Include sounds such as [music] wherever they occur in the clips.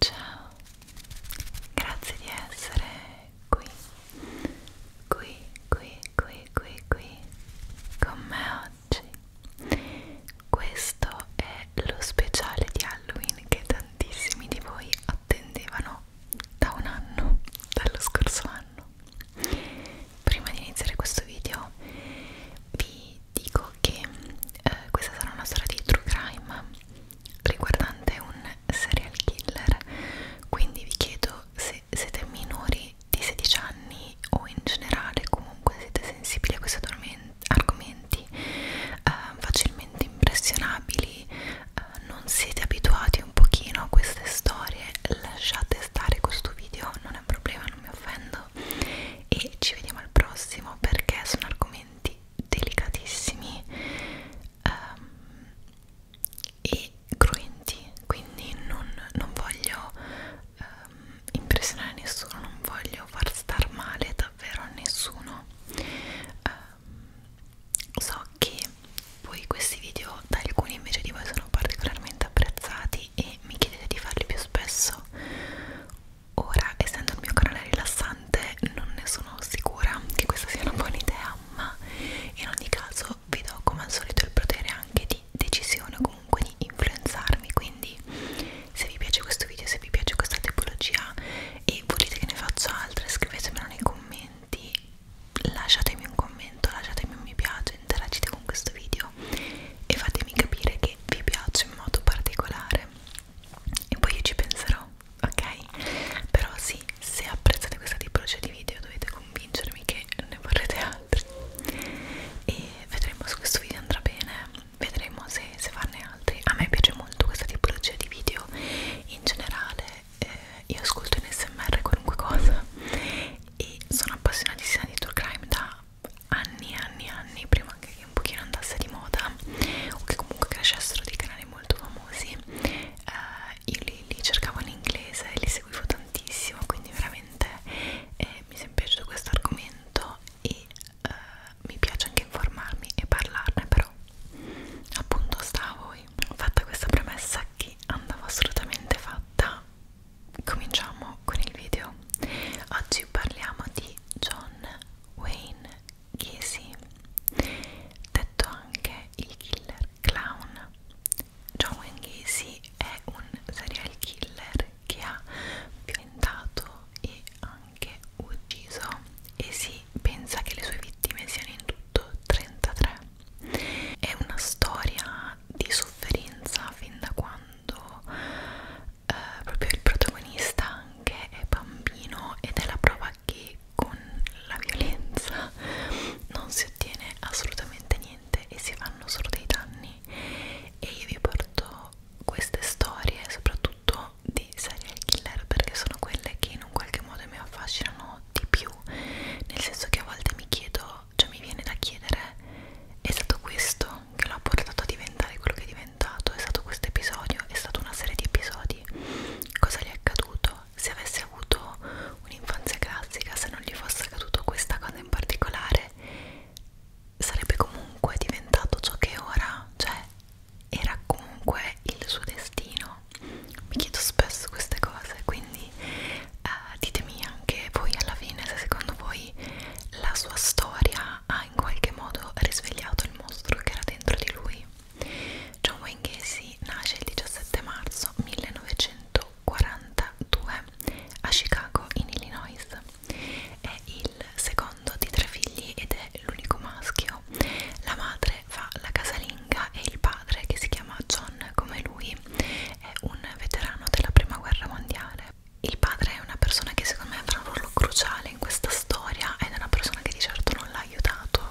Ciao, grazie di essere qui, qui, qui, qui, qui, qui con me oggi. Questo è lo speciale di Halloween che tantissimi di voi attendevano no, da un anno, dallo scorso anno. Prima di iniziare questo video vi dico che eh, questa sarà una storia di true crime riguardante un serial killer, quindi vi chiedo se siete minori di 16 anni o in generale comunque siete sensibili a questi argomenti eh, facilmente impressionabili eh, non siete abituati un pochino a queste storie lasciate stare questo video non è un problema non mi offendo e ci vediamo al prossimo perché sono argomenti delicatissimi um, e cruenti quindi non, non voglio um, impressionare nessuno non voglio far star male davvero a nessuno um, so che poi questi video da alcuni invece di voi sono particolarmente apprezzati e mi chiedete di farli più spesso. Ora, essendo il mio canale rilassante, non ne sono sicura che questa sia una buona idea, ma in ogni caso vi do come al solito il potere anche di decisione o comunque di influenzarmi, quindi se vi piace questo video, se vi piace questa tipologia e volete che ne faccia altre, scrivetemelo nei commenti lasciatemi un commento, lasciatemi un mi piace, interagite con questo video e fatemi capire che vi piace in modo particolare e poi io ci penserò, ok? Però sì, se apprezzate questa tipologia di video dovete convincermi che ne vorrete altri e vedremo se questo video andrà bene, vedremo se, se farne altri. A me piace molto questa tipologia di video in generale eh, io ascolto in smr qualunque cosa e sono appassionatissima di tour crime da anni e anni e anni prima che un pochino andasse di moda o che comunque crescessero dei canali molto famosi eh, io li, li cercavo in inglese e li seguivo tantissimo quindi veramente eh, mi è sempre piaciuto questo argomento e eh, mi piace anche informarmi e parlarne però appunto stavo voi fatta questa premessa che andava assolutamente fatta cominciamo con il video oggi parliamo di John Wayne Gacy detto anche il killer clown John Wayne Gacy è un serial killer che ha violentato e anche ucciso e si pensa che le sue vittime siano in tutto 33 è una storia di sofferenza fin da quando eh, proprio il protagonista anche è bambino ed è la prova che con la violenza non si ottiene assolutamente niente e si fanno solo dei danni e io vi porto queste storie soprattutto di serial killer perché sono quelle che in un qualche modo mi affascinano amo di più nel senso che a volte mi chiedo cioè mi viene da chiedere è stato questo che l'ha portato a diventare quello che è diventato è stato questo episodio è stata una serie di episodi cosa gli è accaduto se avesse avuto un'infanzia classica se non gli fosse accaduto questa cosa in particolare sarebbe comunque diventato ciò che è ora cioè era comunque il suo destino mi chiedo spesso queste cose quindi eh, ditemi anche voi alla fine se secondo voi la sua storia ha in qualche modo risvegliato il mostro che era dentro di lui John Wayne Casey nasce il 17 marzo 1942 a Chicago in Illinois è il secondo di tre figli ed è l'unico maschio la madre madre fa la casalinga e il padre che si chiama John come lui è un veterano della prima guerra mondiale il padre è una persona che secondo me avrà un ruolo cruciale in questa storia ed è una persona che di certo non l'ha aiutato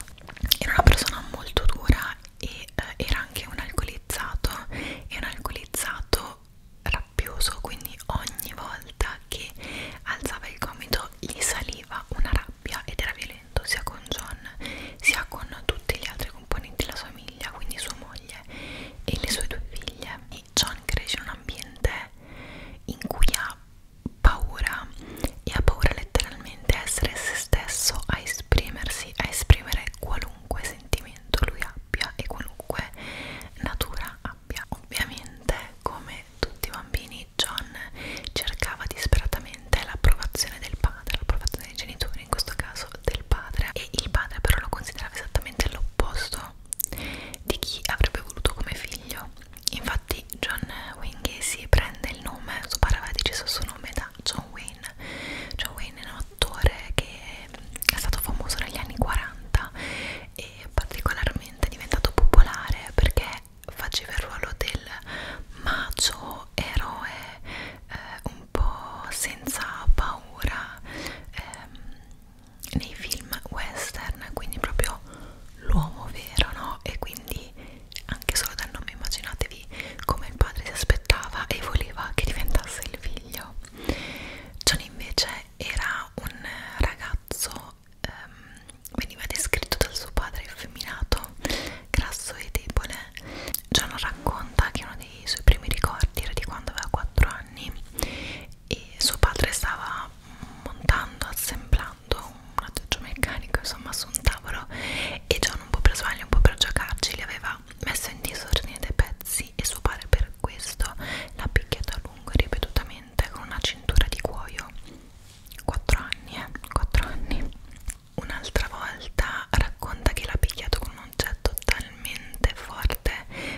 era una persona molto dura e eh, era anche un alcolizzato e un alcolizzato rabbioso quindi ogni volta che alzava il gomito gli saliva una rabbia ed era violento momento sia con John sia con tutti gli altri componenti della sua famiglia quindi sua moglie e le sue due figlie e John cresce in un ambiente in cui ha paura e ha paura letteralmente a essere se stesso a esprimersi a esprimere qualunque sentimento lui abbia e qualunque natura abbia ovviamente come tutti i bambini John cercava disperatamente ovviamente l'approvazione del padre, l'approvazione dei genitori, in questo caso del padre, e il padre però lo considerava esattamente l'opposto di chi avrebbe voluto come figlio. Infatti John Wayne si prende il nome, suo padre aveva deciso il suo nome da John Wayne. John Wayne è un attore che è stato famoso negli anni 40 e particolarmente è diventato popolare perché faceva il ruolo del macio eroe eh, un po' senza paura ehm, nei film western, quindi proprio l'uomo vero, no? E quindi anche solo dal nome immaginatevi come il padre si aspettava e voleva che diventasse il figlio. John invece era un ragazzo, ehm, veniva descritto dal suo padre effeminato, grasso e debole, John racconta che uno dei suoi primi ricordi era di quando aveva 4 anni e suo padre stava montando, assemblando un aggeggio meccanico insomma su un tavolo e John un po' per sbaglio, un po' per giocarci li aveva messo in disordine dei pezzi e suo padre per questo l'ha picchiato a lungo e ripetutamente con una cintura di cuoio 4 anni eh, 4 anni un'altra volta racconta che l'ha picchiato con un oggetto talmente forte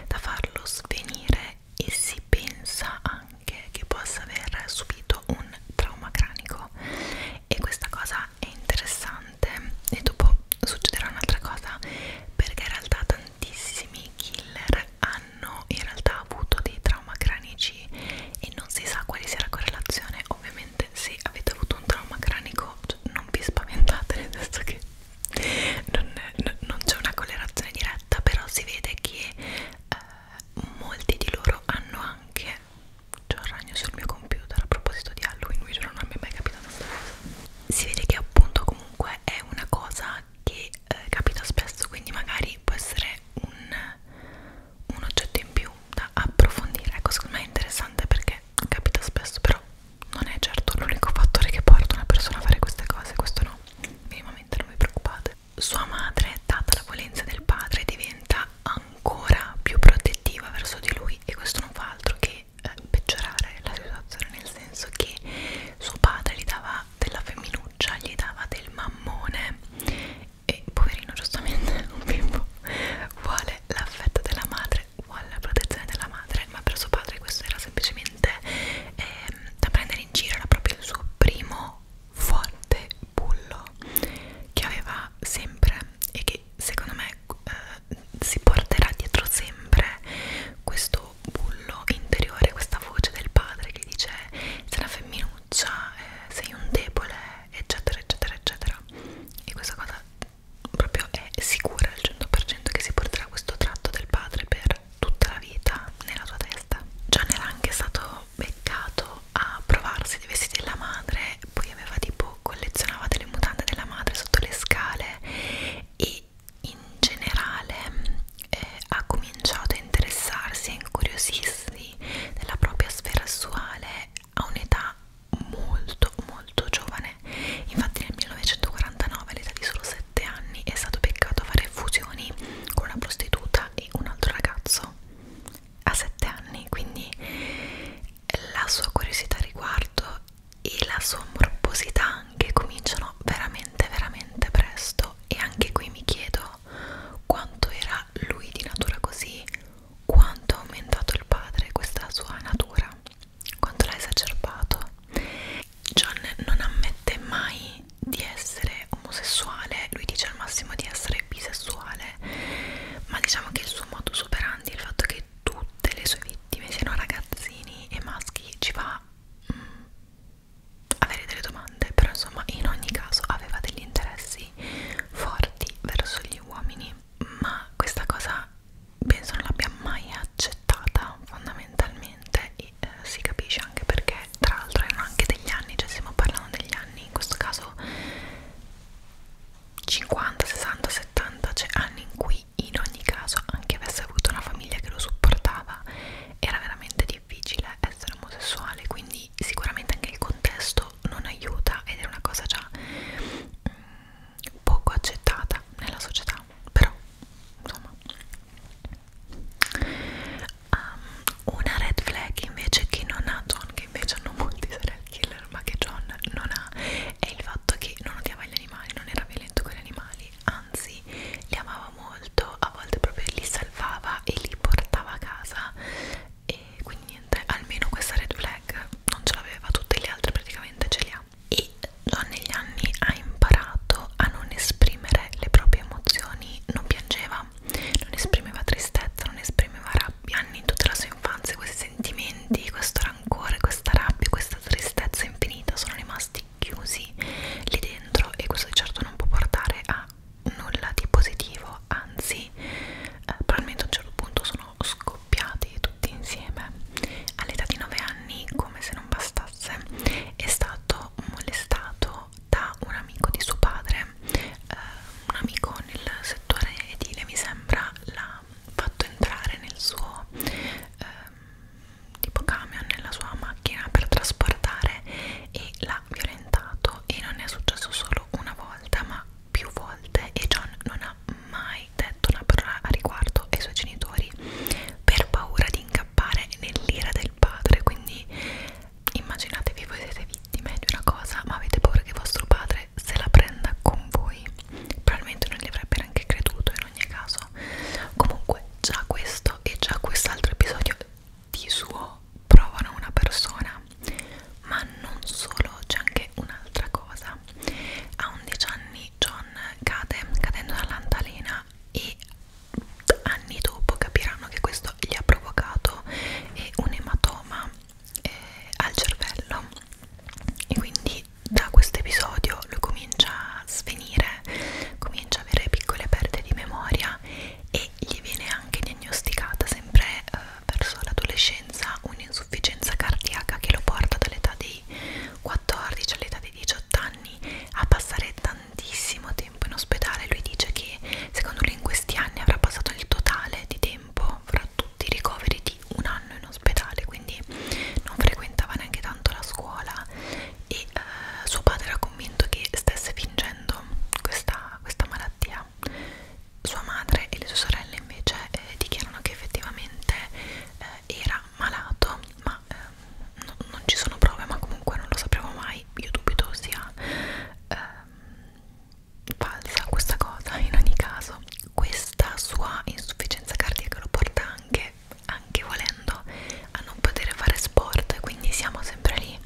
da farlo svenire e si pensa anche che possa aver subito un trauma cranico e questa cosa è interessante e dopo succederà un'altra cosa perché in realtà tantissimi killer hanno in realtà avuto dei trauma cranici e non si sa quale sia la correlazione ovviamente veramente se avete avuto un trauma cranico cioè, non vi spaventate nel senso che non, non c'è una correlazione diretta però si vede che eh, molti di loro hanno anche c'è un ragno sul mio computer a proposito di Halloween vi giuro non mi è mai capitata questa cosa si vede che appunto comunque è una cosa che eh, capita spesso quindi magari può essere un un oggetto in più da approfondire ecco secondo me è interessante perché capita spesso però non è certo l'unico fattore che porta una persona a fare queste cose questo no minimamente non vi preoccupate sua madre data la violenza del padre diventa ancora più protettiva verso di lui e questo non fa altro che eh, peggiorare la situazione nel senso che suo padre gli dava della femminuccia gli dava del mammone e poverino giustamente [laughs] un bimbo vuole l'affetto della madre vuole la protezione della madre ma per suo padre questo era semplicemente eh, da prendere in giro era proprio il suo primo forte bullo che aveva sempre e che secondo me eh, si porterà dietro sempre questo bullo interiore questa voce del padre che dice sei una femminuccia eh, sei un debole eccetera eccetera eccetera e questa cosa proprio è sicura al 100% che si porterà questo tratto del padre per tutta la vita nella sua testa John era anche stato beccato a provarsi dei vestiti della madre poi aveva tipo collezionava delle mutande della madre sotto le scale e in generale eh, ha cominciato a interessarsi e incuriosirsi della propria sfera sessuale a un'età molto molto giovane infatti nel 1949 all'età di solo 7 anni è stato beccato a fare fusioni con una prostituta e un altro ragazzo a 7 anni quindi la sua curiosità a riguardo e la sua morbosità anche cominciano veramente veramente presto e anche qui mi chiedo quanto era lui di natura così quanto ha aumentato il padre questa sua natura, quanto l'ha esacerbato. John non ammette mai di essere omosessuale, lui dice al massimo di essere bisessuale, ma diciamo che il suo modo superandi, il fatto che tutte le sue vittime siano ragazzini e maschi, ci va mh, mm, avere delle domande, però insomma in ogni caso aveva degli interessi forti verso gli uomini ma questa cosa penso non l'abbia mai accettata fondamentalmente e eh, si capisce anche perché tra l'altro erano anche degli anni, cioè stiamo parlando degli anni, in questo caso 50, 60, 70, cioè anni in cui in ogni caso anche avesse avuto una famiglia che lo supportava era veramente difficile essere omosessuale, quindi sicuramente anche il contesto questo non aiuta ed è una cosa già mh, mm, poco accettata nella società però insomma um, una red flag invece che non ha John che invece hanno molti serial killer ma che John non ha è il fatto che non odiava gli animali non era violento con gli animali anzi li amava molto a volte proprio li salvava e li portava a casa e quindi niente almeno questa red flag non ce l'aveva tutte le altre praticamente ce le ha e John negli anni ha imparato a non esprimere le proprie emozioni non piangeva non esprimeva tristezza non esprimeva rabbia anni in tutta la sua infanzia questi sentimenti questo rancore questa rabbia questa tristezza infinita sono rimasti chiusi lì dentro e questo di certo non può portare a nulla di positivo anzi eh, probabilmente a un certo punto sono scoperto accoppiati tutti insieme all'età di 9 anni come se non bastasse è stato molestato da un amico di suo padre eh, un amico nel settore edile mi sembra l'ha fatto entrare nel suo eh, tipo camion nella sua macchina per trasportare e l'ha violentato e non è successo solo una volta ma più volte e John non ha mai detto una parola a riguardo ai suoi genitori per paura di incappare nell'ira del padre. Quindi immaginatevi voi siete vittime di una cosa, ma avete paura che vostro padre se la prenda con voi. Probabilmente non gli avrebbe neanche creduto in ogni caso. Comunque già questo e già quest'altro episodio di suo provano una persona età ma non solo c'è anche un'altra cosa a 11 anni John cade cadendo dall'antalena e anni dopo capiranno che questo gli ha provocato eh, un ematoma eh, al cervello e quindi da questo episodio lui comincia a svenire comincia ad avere piccole perdite di memoria e gli viene anche diagnosticata sempre eh, verso l'adolescenza un'insufficienza cardiaca che lo porta dall'età dei 14 all'età dei 18 anni a passare tantissimo tempo in ospedale. Lui dice che secondo lui in questi anni avrà passato il totale di tempo fra tutti i ricoveri di un anno in ospedale, quindi non frequentava neanche tanto la scuola e eh, suo padre era convinto che stesse fingendo questa, questa malattia sua madre e le sue sorelle invece eh, dichiarano che effettivamente eh, era malato, ma eh, no, non ci sono prove, ma comunque non lo sapremo mai, io dubito sia eh, falsa questa cosa in ogni caso. Questa sua insufficienza cardiaca lo porta anche, anche volendo, a non poter fare sport, quindi siamo sempre lì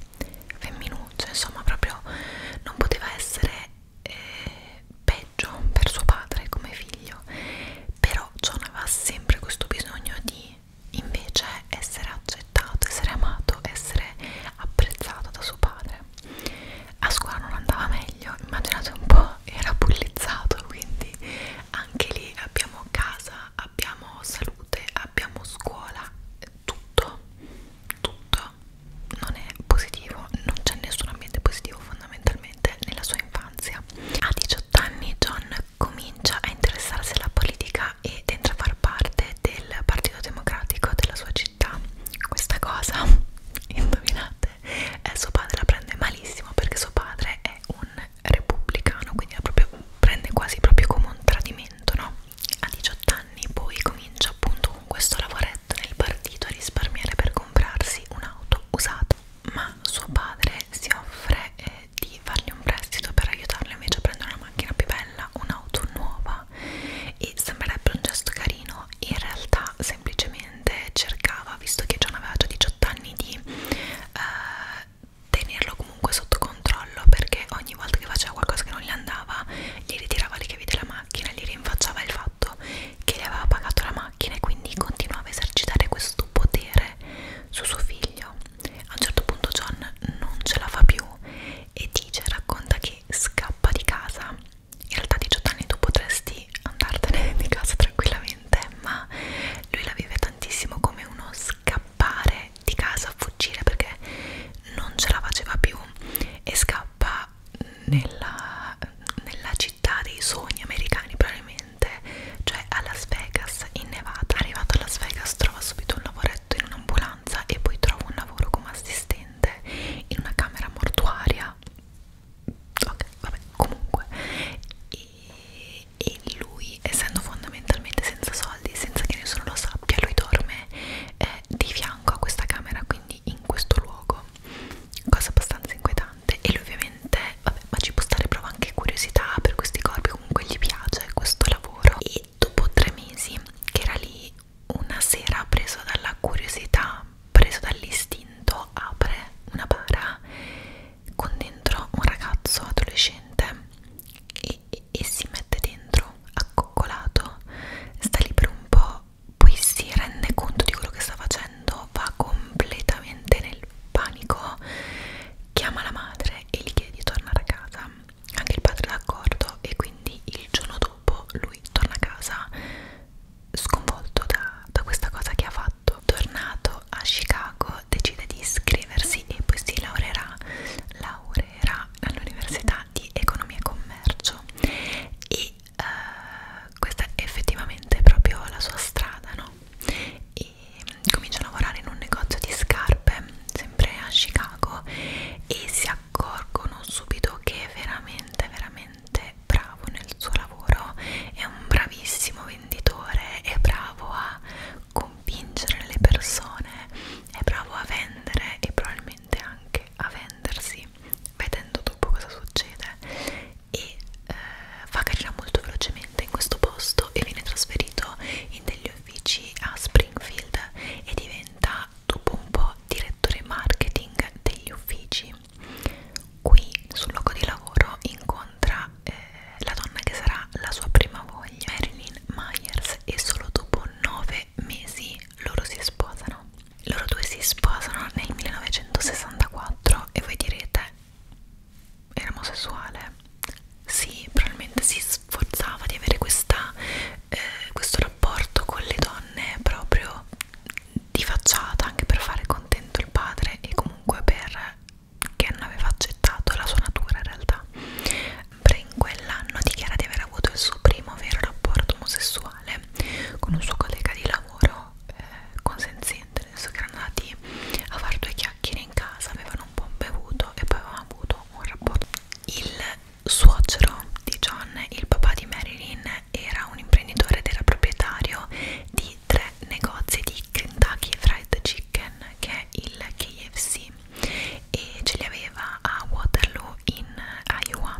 femminuccio, insomma proprio non poteva essere eh, peggio per suo padre come figlio però John aveva sempre questo bisogno di invece essere accettato, essere amato, essere apprezzato da suo padre a scuola non andava meglio, immaginate un po', era bullizzato quindi anche lì abbiamo casa, abbiamo salute, abbiamo scuola tutto, tutto non è positivo, non c'è nessun ambiente positivo fondamentalmente nella sua infanzia. A 18 anni John comincia a interessarsi alla politica ed entra a far parte del Partito Democratico della sua città. Questa cosa, [laughs] indovinate, eh, suo padre la prende malissimo perché suo padre è un repubblicano, quindi la proprio, prende quasi proprio come un tradimento, no? A 18 anni poi comincia appunto con questo lavoretto nel partito a risparmiare per comprarsi un'auto usata ma suo padre si offre eh, di fargli un prestito per aiutarlo invece a prendere una macchina più bella, un'auto nuova e sembrerebbe un gesto carino in realtà semplicemente cercava, visto che John aveva già 18 anni di eh, tenerlo comunque sotto controllo perché ogni volta che faceva qualcosa che non gli andava gli ritirava le chiavi della macchina, gli rinfacciava il fatto fatto che le aveva pagato la macchina e quindi continuava a esercitare questo potere su suo figlio. A un certo punto John non ce la fa più e dice, racconta che scappa di casa. In realtà a 18 anni tu potresti andartene [laughs] di casa tranquillamente, ma lui la vive tantissimo come uno scappare di casa, fuggire perché non ce la faceva più e scappa era nella, nella città dei sogni americani probabilmente, cioè a Las Vegas in Nevada. Arrivato a Las Vegas trova subito un lavoretto in un'ambulanza e poi trova un lavoro come assistente in una camera mortuaria. Ok, vabbè, comunque. E, e lui, essendo fondamentalmente senza soldi, senza che nessuno lo sappia, lui dorme eh, di fianco a questa camera, quindi in questo luogo cosa abbastanza inquietante e lui ovviamente vabbè ma ci può stare prova anche curiosità per questi corpi comunque gli piace questo lavoro e dopo tre mesi che era lì una sera preso dalla curiosità preso dall'istinto apre una bara con dentro un ragazzo adolescente e, e, e si mette dentro accoccolato sta lì per un po' poi si rende conto di quello che sta facendo, va completamente nel panico, chiama la madre e gli chiede di tornare a casa. Anche il padre è d'accordo e quindi il giorno dopo lui torna a casa sconvolto da, da questa cosa che ha fatto. Tornato a Chicago decide di iscriversi e poi si laureerà, laureerà all'università di economia e commercio e uh, questa è effettivamente proprio la sua strada, no? E mm, comincia a lavorare in un negozio di scarpe, sempre a Chicago, e si accorgono subito che è veramente, veramente bravo nel suo lavoro, è un bravissimo venditore, è bravo a convincere le persone, è bravo a vendere e probabilmente anche a vendersi poi vedendo dopo cosa succede e eh, fa carriera molto velocemente in questo posto e viene trasferito in degli uffici a Springfield e diventa dopo un po' direttore marketing degli uffici qui sul luogo di lavoro incontra eh, la donna che sarà la sua prima voglia Marilyn Myers e solo dopo nove due mesi loro si sposano. Loro due si sposano nel 1964 e voi direte era omosessuale? Sì, probabilmente si sforzava di avere questa, eh, questo rapporto con le donne proprio di facciata anche per fare contento il padre e comunque per che non aveva accettato la sua natura in realtà. Brin quell'anno dichiara di aver avuto il suo primo vero rapporto omosessuale sessuale con un suo collega di lavoro eh, consenziente, nel senso che erano andati a fare due chiacchiere in casa, avevano un po' bevuto e poi avevano avuto un rapporto. Il suocero di John, il papà di Marilyn, era un imprenditore ed era proprietario di tre negozi di Kentucky Fried Chicken, che è il KFC, e ce li aveva a Waterloo in Iowa.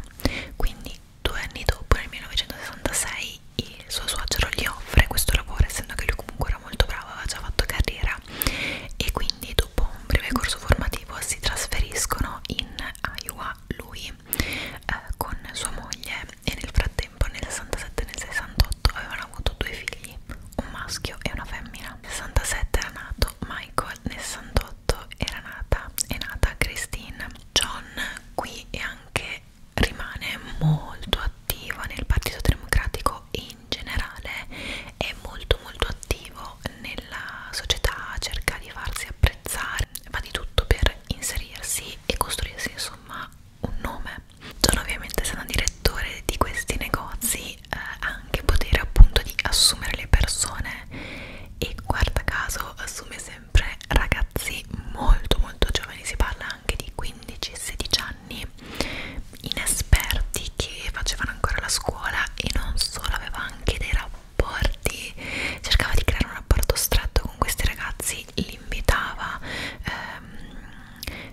Quindi Due anni dopo, nel 1966, il suo suocero gli offre questo lavoro, essendo che lui comunque era molto bravo, aveva già fatto carriera e quindi dopo un breve corso formativo si trasferiscono in Iowa lui eh, con sua moglie e nel frattempo nel 67 e nel 68 avevano avuto due figli, un maschio e una femmina. Nel 67 era nato Michael, nel 68 era nata, è nata Christine John qui è anche rimane molto attivo nel Partito Democratico in generale, è molto molto attivo nella società, cerca di farsi apprezzare, fa di tutto per inserirsi e costruirsi insomma un nome. John ovviamente essendo direttore di questi negozi eh, ha eh, anche potere appunto di assumere le persone e guarda caso assume sempre sempre ragazzi molto molto giovani, si parla anche di 15-16 anni, inesperti che facevano ancora la scuola e non solo, aveva anche dei rapporti, cercava di creare un rapporto stretto con questi ragazzi, li invitava ehm,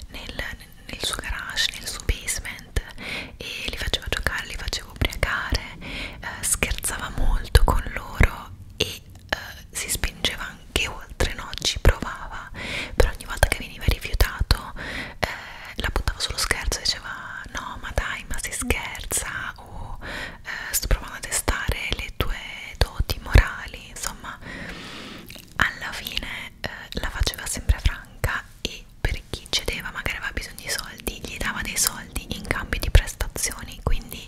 nel, nel suo garage, nel suo basement e li faceva giocare, li faceva ubriacare, eh, scherzava molto con loro e eh, si spingeva anche oltre, no? ci provava, però ogni volta che veniva rifiutato eh, la buttava sullo scherzo e diceva no ma dai ma si scherza o eh, sto provando a testare le tue doti morali, insomma alla fine eh, la faceva sempre franca e per chi cedeva magari aveva bisogno prestazioni di soldi, gli dava dei soldi in cambio di prestazioni, quindi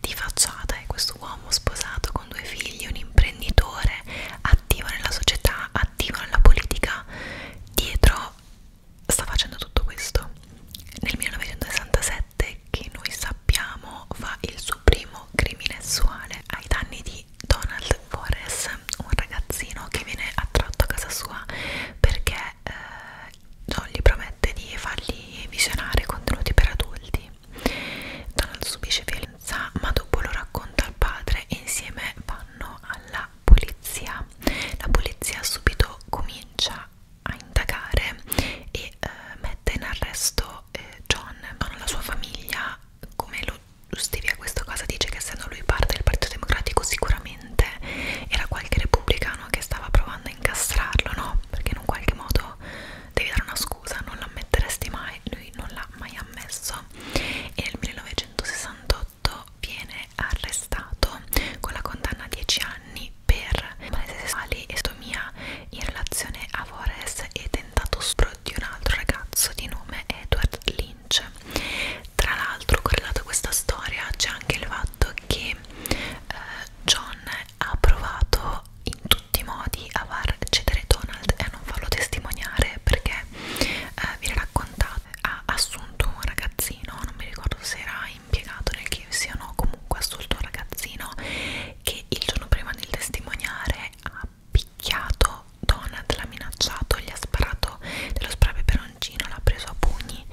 di facciata è questo uomo sposato con due figli, un imprenditore attivo nella società, attivo nella politica, dietro sta facendo tutto questo. Nel 1967, che noi sappiamo, fa il suo primo crimine sessuale ai danni di Donald Forrest, un ragazzino che viene attratto a casa sua perché eh, Jolly promette di fargli visionare contenuti per adulti. Donald subisce violenza, ma dopo lo racconta al padre e insieme vanno alla polizia. La polizia subito comincia a indagare e eh, mette in arresto eh, John. Con la sua famiglia, come lo giustifica questa cosa, dice che essendo lui parte del Partito Democratico sicuramente niente era qualche repubblicano che stava provando a incastrarlo no perché in un qualche modo devi dare una scusa non l'ammetteresti mai lui non l'ha mai ammesso e nel 1968 viene arrestato con la condanna a 10 anni per malese sessuali e stomia in relazione a Vores e tentato spro di un altro ragazzo di nome Edward Lynch. Tra l'altro, correlato a questa storia, c'è anche il fatto che eh, John ha provato in tutti i modi a far cedere Donald e a non farlo testimoniare perché eh, viene raccontato ha assunto un ragazzino, non mi ricordo se era impiegato nel KFC o no, comunque ha assunto un ragazzino che il giorno prima del testimoniare ha picchiato Donald, l'ha minacciato, gli ha sparato dello spray peperoncino, l'ha preso a pugni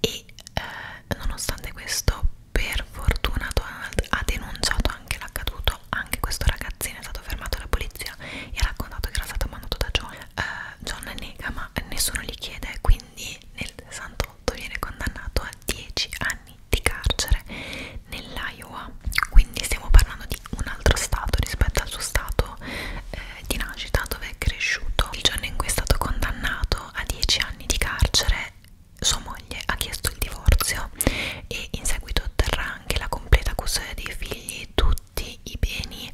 e eh, nonostante questo per fortuna Donald ha denunciato anche l'accaduto anche questo ragazzino è stato fermato dalla polizia e ha raccontato che era stato mandato da John eh, John nega ma nessuno gli chiede quindi nel 68 viene condannato a 10 anni di carcere nell'Iowa quindi stiamo parlando di un altro stato rispetto al suo stato eh, di nascita dove è cresciuto il giorno in cui è stato condannato condannato a 10 anni di carcere, sua moglie ha chiesto il divorzio e in seguito otterrà anche la completa custodia dei figli, tutti i beni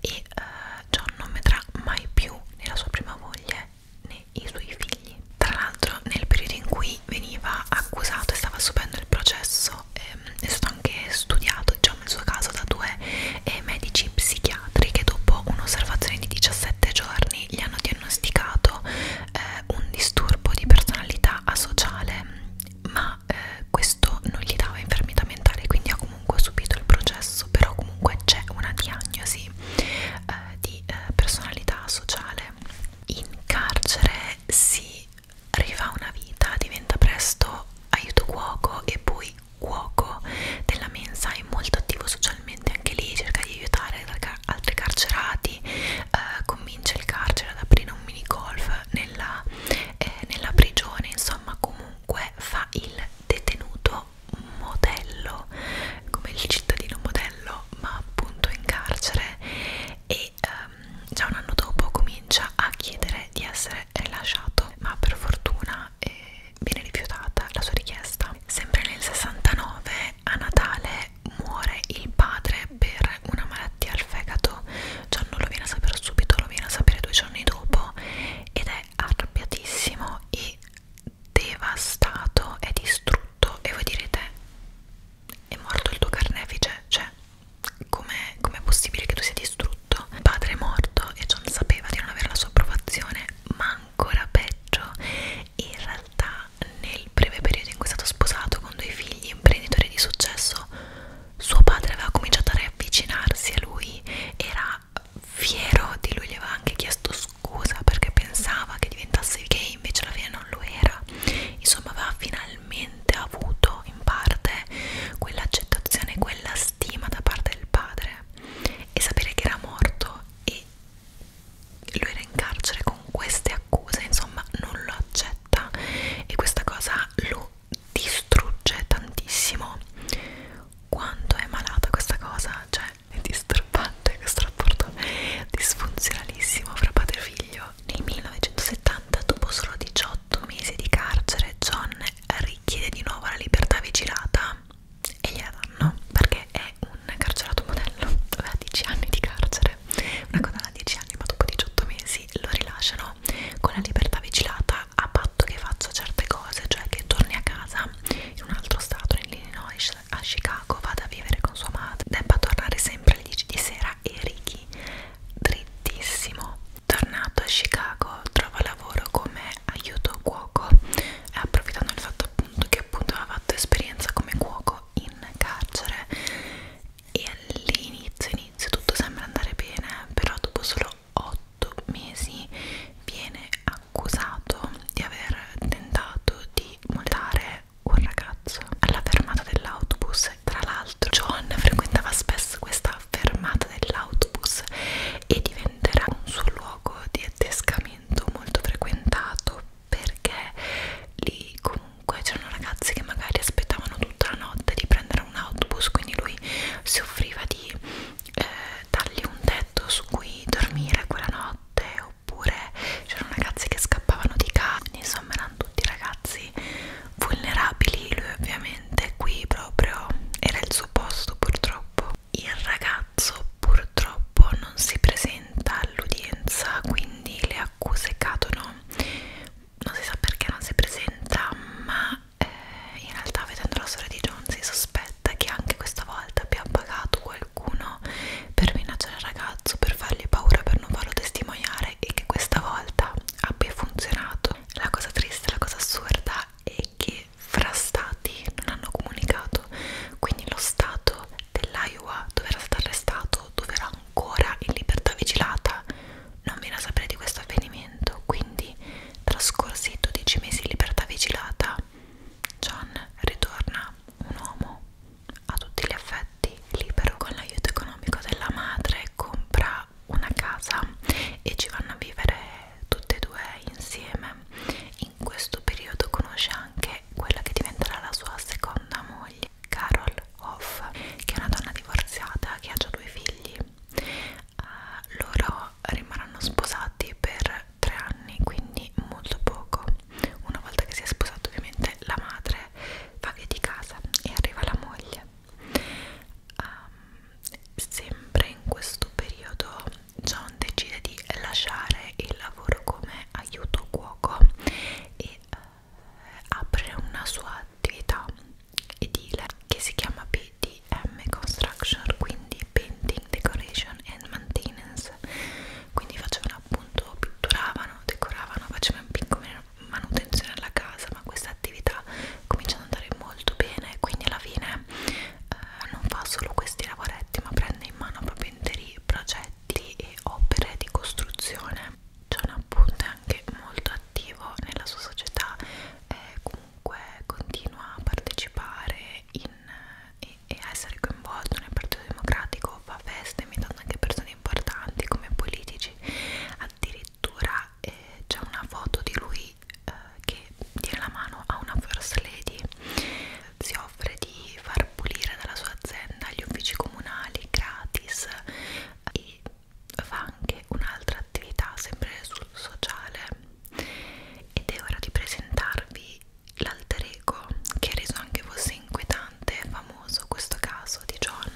e uh, eh, John non vedrà mai più né la sua prima moglie né i suoi figli. Tra l'altro nel periodo in cui veniva accusato e stava subendo il processo ehm, è stato anche studiato diciamo il suo caso da due e medici psichiatri che dopo un'osservazione di 17 giorni gli hanno diagnosticato eh, un disturbo di personalità asociale, ma eh, questo non gli dava infermità mentale, quindi ha comunque subito il processo, però comunque c'è una diagnosi eh, di eh, personalità sociale. In carcere si rifà una vita, diventa presto aiuto cuoco e poi cuoco della mensa è molto attivo socialmente, anche lì cerca di aiutare altri carcerati, eh, convince il carcere ad aprire un mini golf nella, eh, nella prigione, insomma comunque fa il detenuto modello, come il cittadino modello, ma appunto in carcere e ehm, già un anno dopo comincia a chiedere di essere rilasciato, ma per fortuna... Eh, viene rifiutata la sua richiesta. Sempre nel 69 a Natale muore il padre per una malattia al fegato. John non lo viene a sapere subito, lo viene a sapere due giorni dopo ed è arrabbiatissimo e devastato e distrutto. E voi direte: è morto il tuo carnefice? Cioè, com'è com possibile che tu sia distrutto? Il padre è morto e John sapeva di non avere la sua approvazione, ma ancora peggio in realtà nel breve periodo in cui è stato sposato con due figli imprenditori di successo suo padre aveva cominciato a riavvicinarsi a lui era fiero di lui, gli aveva anche chiesto scusa perché pensava che diventasse gay invece alla fine non lo era insomma aveva finalmente avuto in parte quell'accettazione, quella stima da parte del padre e sapere che era morto e e lui era in carcere con queste accuse, insomma non lo accetta e questa cosa lo distrugge tantissimo. Quanto è malata questa cosa, cioè è disturbante questo rapporto disfunzionalissimo fra padre e figlio. Nel 1970, dopo solo 18 mesi di carcere, John richiede di nuovo la libertà vigilata e gliela danno perché è un carcerato modello aveva 10 anni di carcere una condanna a 10 anni ma dopo 18 mesi lo rilasciano con la libertà vigilata a patto che faccia certe cose cioè che torni a casa in un altro stato nell'Illinois a Chicago vada a vivere con sua madre debba tornare sempre alle 10 di sera e Ricky drittissimo tornato a Chicago trova lavoro come aiuto cuoco eh, approfittando del fatto appunto che appunto aveva fatto esperienza come cuoco in carcere e all'inizio inizio tutto sembra andare bene però dopo solo 8 mesi viene accusato di aver tentato di mollare un ragazzo alla fermata dell'autobus tra l'altro John frequentava spesso questa fermata dell'autobus e diventerà un suo luogo di attescamento appuntamento molto frequentato perché lì comunque c'erano ragazzi che magari aspettavano tutta la notte di prendere un autobus quindi lui si offriva di eh, dargli un tetto su cui dormire quella notte oppure c'erano ragazzi che scappavano di casa insomma erano tutti ragazzi vulnerabili lui ovviamente qui proprio era il suo posto purtroppo il ragazzo purtroppo non si presenta all'udienza, quindi le accuse cadono. Non si sa perché non si presenta, ma eh, in realtà vedendo la storia di John si sospetta che anche questa volta abbia pagato qualcuno per minacciare il ragazzo, per fargli paura, per non farlo testimoniare e che questa volta abbia funzionato. La cosa triste, la cosa assurda è che fra stati non hanno comunicato, quindi lo stato dell'Iowa dove era stato arrestato, dove era ancora in libertà vigilata, non viene a sapere di questo avvenimento, quindi trascorsi 12 mesi in libertà vigilata, John ritorna un uomo a tutti gli affetti, libero con l'aiuto economico della madre, compra una casa e ci vanno a vivere tutte e due insieme in in questo periodo conosce anche quella che diventerà la sua seconda moglie, Carol Hoff, che è una donna divorziata che ha già due figli. Uh, loro rimarranno sposati per tre anni, quindi molto poco. Una volta che si è sposato, ovviamente la madre va via di casa e arriva la moglie. Um, sempre in questo periodo John decide di lasciare il lavoro come aiuto cuoco e eh, apre una sua attività edile che si chiama PDM Construction, quindi Painting, Decoration and Maintenance. Quindi facevano appunto, pitturavano, decoravano, facevano piccola manutenzione alla casa, ma questa attività comincia ad andare molto bene, quindi alla fine eh, non fa solo questi lavoretti ma prende in mano papenteri, progetti e opere di costruzione. John appunto è anche molto attivo nella sua società e comunque continua a partecipare in, e, e a essere coinvolto nel Partito Democratico, fa feste invitando anche persone importanti come politici, addirittura eh, c'è una foto di lui eh, che tiene la mano a una first lady si offre di far pulire dalla sua azienda gli uffici comunali gratis e fa anche un'altra attività sempre sul sociale ed è ora di presentarvi l'alter ego che ha reso anche fosse inquietante e famoso questo caso di John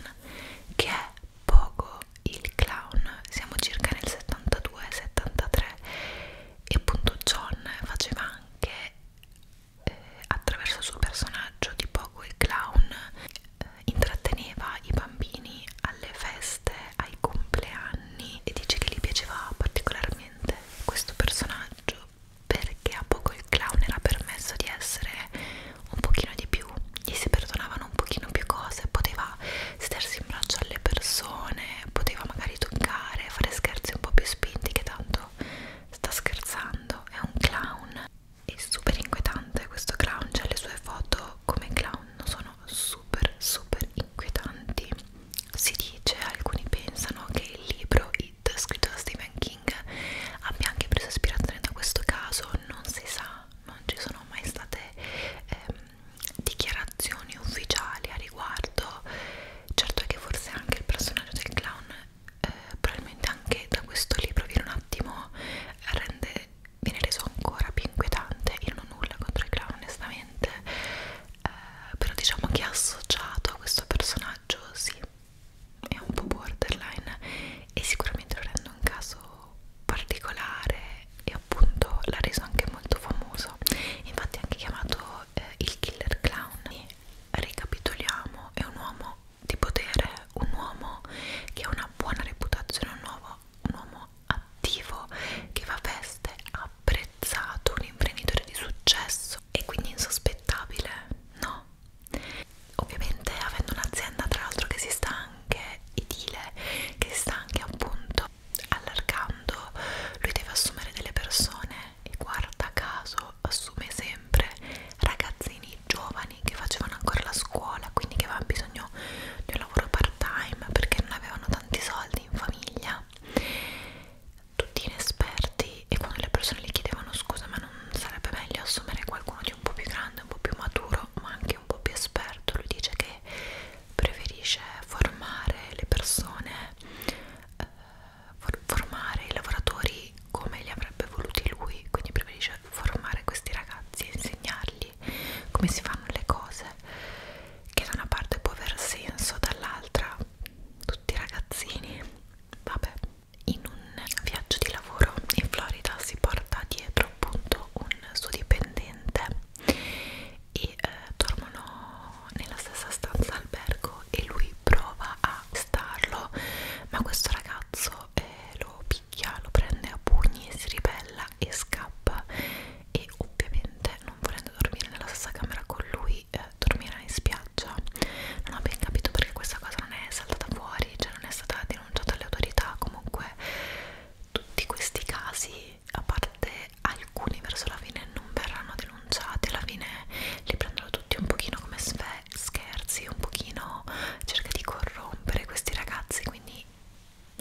che è Pogo il clown siamo circa nel 72-73 e appunto John faceva anche eh, attraverso il suo personaggio di poco il clown eh, intratteneva i bambini alle feste, ai compleanni e dice che gli piaceva particolarmente questo personaggio perché a poco il clown era permesso di essere un pochino di più gli si perdonavano un pochino più cose poteva sedersi in braccio alle persone poteva magari toccare, fare scherzi un po' più spinti che tanto sta scherzando, è un clown è super inquietante questo clown, cioè le sue foto come clown sono super super inquietanti si dice, alcuni pensano che il libro It scritto da Stephen King abbia anche preso ispirazione da questo caso, non si sa non ci sono mai state ehm, dichiarazioni ufficiali a riguardo certo è che forse anche il personaggio del clown eh, probabilmente anche da questo libro viene un attimo rende, viene reso ancora più inquietante io non ho nulla contro i clown onestamente eh, però diciamo che associato a questo personaggio sì è un po' borderline e sicuramente lo rende un caso particolare e appunto l'ha reso anche molto famoso infatti è anche chiamato eh, eh, il killer clown ricapitoliamo è un uomo di potere un uomo che ha una buona reputazione un uomo, un uomo attivo che va a veste apprezzato un imprenditore di successo e quindi insospettabile no ovviamente avendo un'azienda tra l'altro che si sta anche edile che si sta anche appunto allargando lui deve assumere delle persone e guarda caso assume sempre ragazzini giovani che facevano ancora la scuola quindi che avevano bisogno di un lavoro part time perché non avevano tanti soldi in famiglia tutti inesperti e quando le persone gli chiedevano scusa ma non sarebbe meglio assumere qualcuno di un po' più grande, un po' più maturo ma anche un po' più esperto lui dice che preferisce formare le persone eh, formare i lavoratori come li avrebbe voluti lui, quindi preferisce formare questi ragazzi e insegnargli come si fanno le cose, che da una parte può aver senso, dall'altra tutti i ragazzini, vabbè, in un viaggio di lavoro in Florida si porta dietro appunto un suo dipendente e eh, dormono nella stessa stanza albergo e lui prova a starlo ma questo ragazzo eh, lo picchia, lo prende a pugni, si ribella e scappa e ovviamente non volendo dormire nella stessa camera con lui eh, dormirà in spiaggia non ho ben capito perché questa cosa non è saltata fuori, cioè non è stata denunciata alle autorità comunque tutti questi casi a parte alcuni verso la fine non verranno denunciati alla fine li prendono tutti un pochino come scherzi un pochino cerca di corrompere questi ragazzi quindi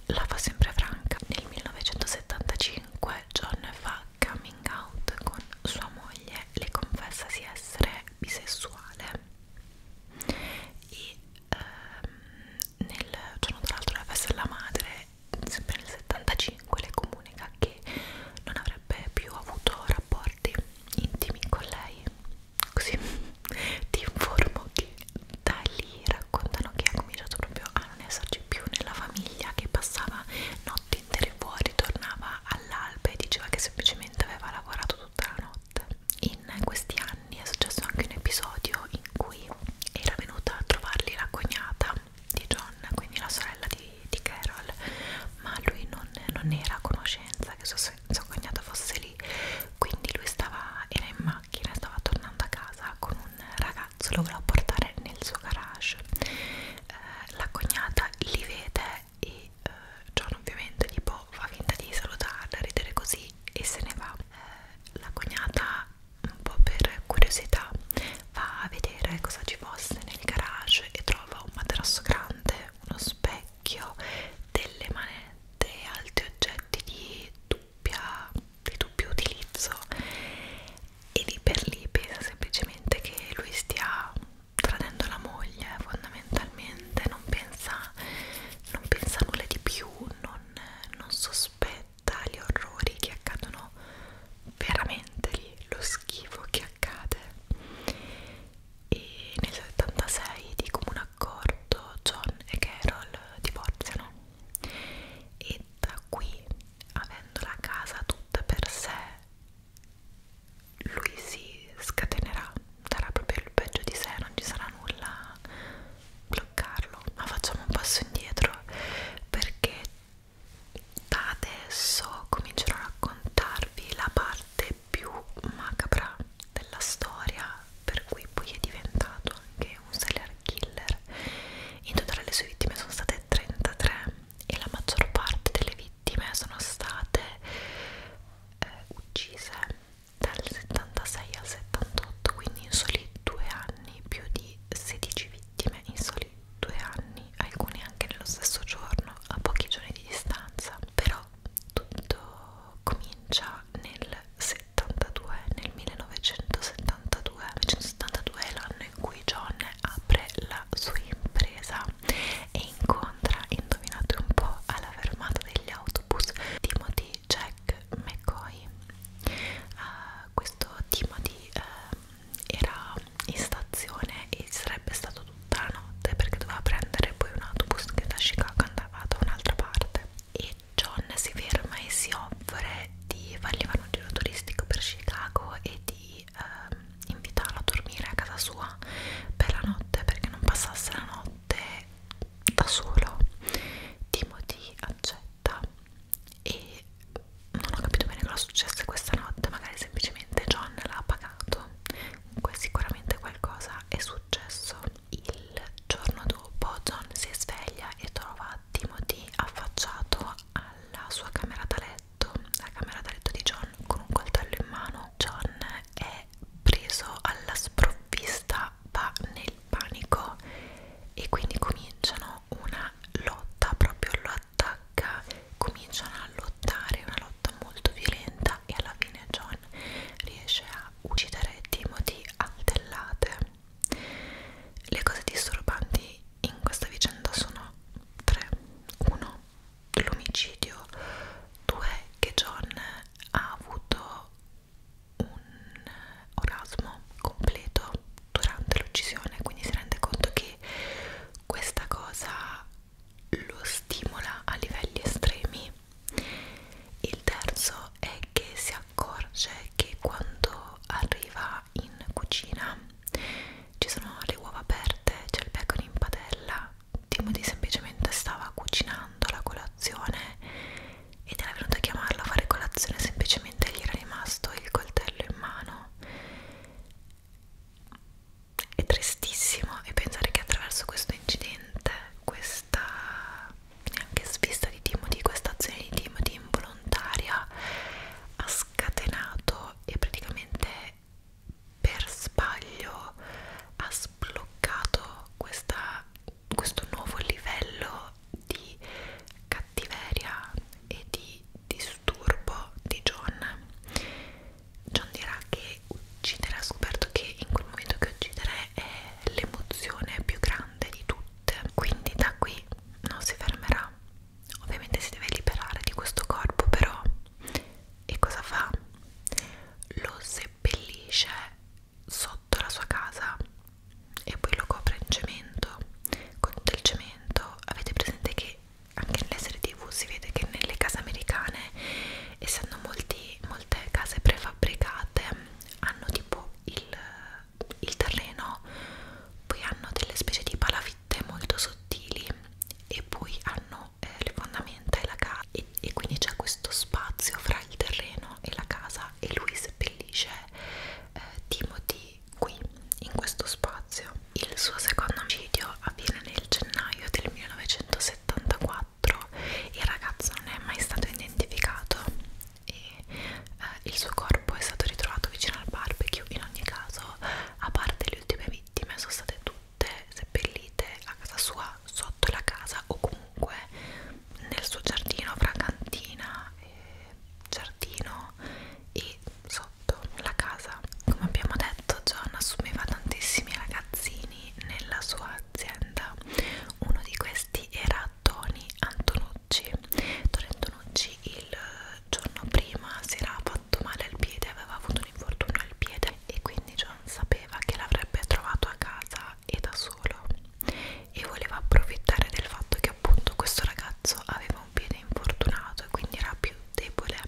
la fa sempre franca nel 1975 John fa coming out con sua moglie le confessa di essere bisessuale e ehm, nel giorno tra l'altro la festa della madre sempre nel 75 le comunica che non avrebbe più avuto rapporti intimi con lei così ti informo che da lì raccontano che ha cominciato proprio a non esserci più nella famiglia che passava notti intere fuori tornava all'alba e diceva che semplicemente aveva lavorato tutta la notte in questi anni è successo anche un episodio in cui era venuta a trovarli la cognata di John, quindi la sorella di, di Carol, ma lui non, non era a conoscenza che sua, sua cognata fosse lì, quindi lui stava, era in macchina, stava tornando a casa con un ragazzo, lo voleva portare nel suo garage. Eh, la cognata li vede e eh, John ovviamente tipo fa finta di salutarla, ridere così e se ne va. Eh, la cognata un po' per curiosità va a vedere cosa ci fosse nel garage e trova un materasso grande, uno specchio, delle manette e altri oggetti di dubbia, di dubbio utilizzo e lì per lì pensa semplicemente che lui stia tradendo la moglie fondamentalmente non pensa, non pensa nulla di più non, non sospetta tali orrori che accadono veramente lì, lo schifo che accade. E nel 76 di comune accordo John e Carol divorziano e da qui, avendo la casa tutta per sé, lui si scatenerà, darà proprio il peggio di sé, non ci sarà nulla a bloccarlo. Ma facciamo un passo indietro perché da adesso comincerò a raccontarvi la parte più macabra della storia per cui poi è diventato anche un serial killer in totale le sue vittime sono state 33 e la maggior parte delle vittime sono state eh, uccise dal 76 al 78 quindi in soli due anni più di 16 vittime in soli due anni, alcuni anche nello stesso giorno, a pochi giorni di distanza, però tutto comincia nel 72, nel 1972, 1972 è l'anno in cui John apre la sua impresa e incontra, indovinate un po', alla fermata degli autobus Timothy Jack McCoy. Uh, questo Timothy uh, era in stazione e sarebbe stato tutta la notte perché doveva prendere poi un autobus che da Chicago andava da un'altra parte e John si ferma e si offre di fargli fare un giro turistico per Chicago e di eh, invitarlo a dormire a casa sua per la notte perché non passasse la notte da solo Timothy accetta e non ho capito bene cosa è successo questa notte magari semplicemente John l'ha pagato comunque sicuramente qualcosa è successo il giorno dopo John si sveglia e trova Timothy affacciato alla sua camera da letto la camera da letto di John con un coltello in mano John è preso alla sprovvista va nel panico e quindi cominciano fanno una lotta, proprio lo attacca, cominciano a lottare, una lotta molto violenta e alla fine John riesce a uccidere Timothy a tellate. Le cose disturbanti in questa vicenda sono tre. Uno, l'omicidio. Due, che John ha avuto un orgasmo completo durante l'uccisione quindi si rende conto che questa cosa lo stimola a livelli estremi il terzo è che si accorge che quando arriva in cucina ci sono le uova aperte c'è il bacon in padella Timothy semplicemente stava cucinando la colazione ed era venuto a chiamarlo a fare colazione semplicemente gli era rimasto il coltello in mano è tristissimo e pensare che attraverso questo incidente, questa anche svista di Timothy, questa azione di Timothy involontaria ha scatenato e praticamente per sbaglio ha sbloccato questa, questo nuovo livello di cattiveria e di disturbo di John John dirà che uccidere ha scoperto che in quel momento che uccidere è l'emozione più grande di tutte quindi da qui non si fermerà ovviamente si deve liberare di questo corpo però e cosa fa? lo seppellisce sotto la sua casa e poi lo copre in cemento con del cemento momento avete presente che anche nelle serie tv si vede che nelle case americane essendo molti, molte case prefabbricate hanno tipo il, il terreno poi hanno delle specie di palafitte molto sottili e poi hanno eh, le fondamenta e la casa e, e quindi c'è questo spazio fra il terreno e la casa e lui seppellisce eh, Timothy qui in questo spazio il suo secondo omicidio avviene nel gennaio del 1974, il ragazzo non è mai stato identificato e eh, il suo corpo è stato ritrovato vicino al barbecue. In ogni caso, a parte le ultime vittime, sono state tutte seppellite a casa sua, sotto la casa o comunque nel suo giardino fra cantina, eh, giardino e sotto la casa. Come abbiamo detto, John assumeva tantissimi ragazzini nella sua azienda. Uno di questi era Tony Antonucci. Tony Antonucci il giorno prima si era fatto male al piede, aveva avuto un infortunio al piede e quindi John sapeva che l'avrebbe trovato a casa e da solo e voleva approfittare del fatto che appunto questo ragazzo aveva aveva un piede infortunato e quindi era più debole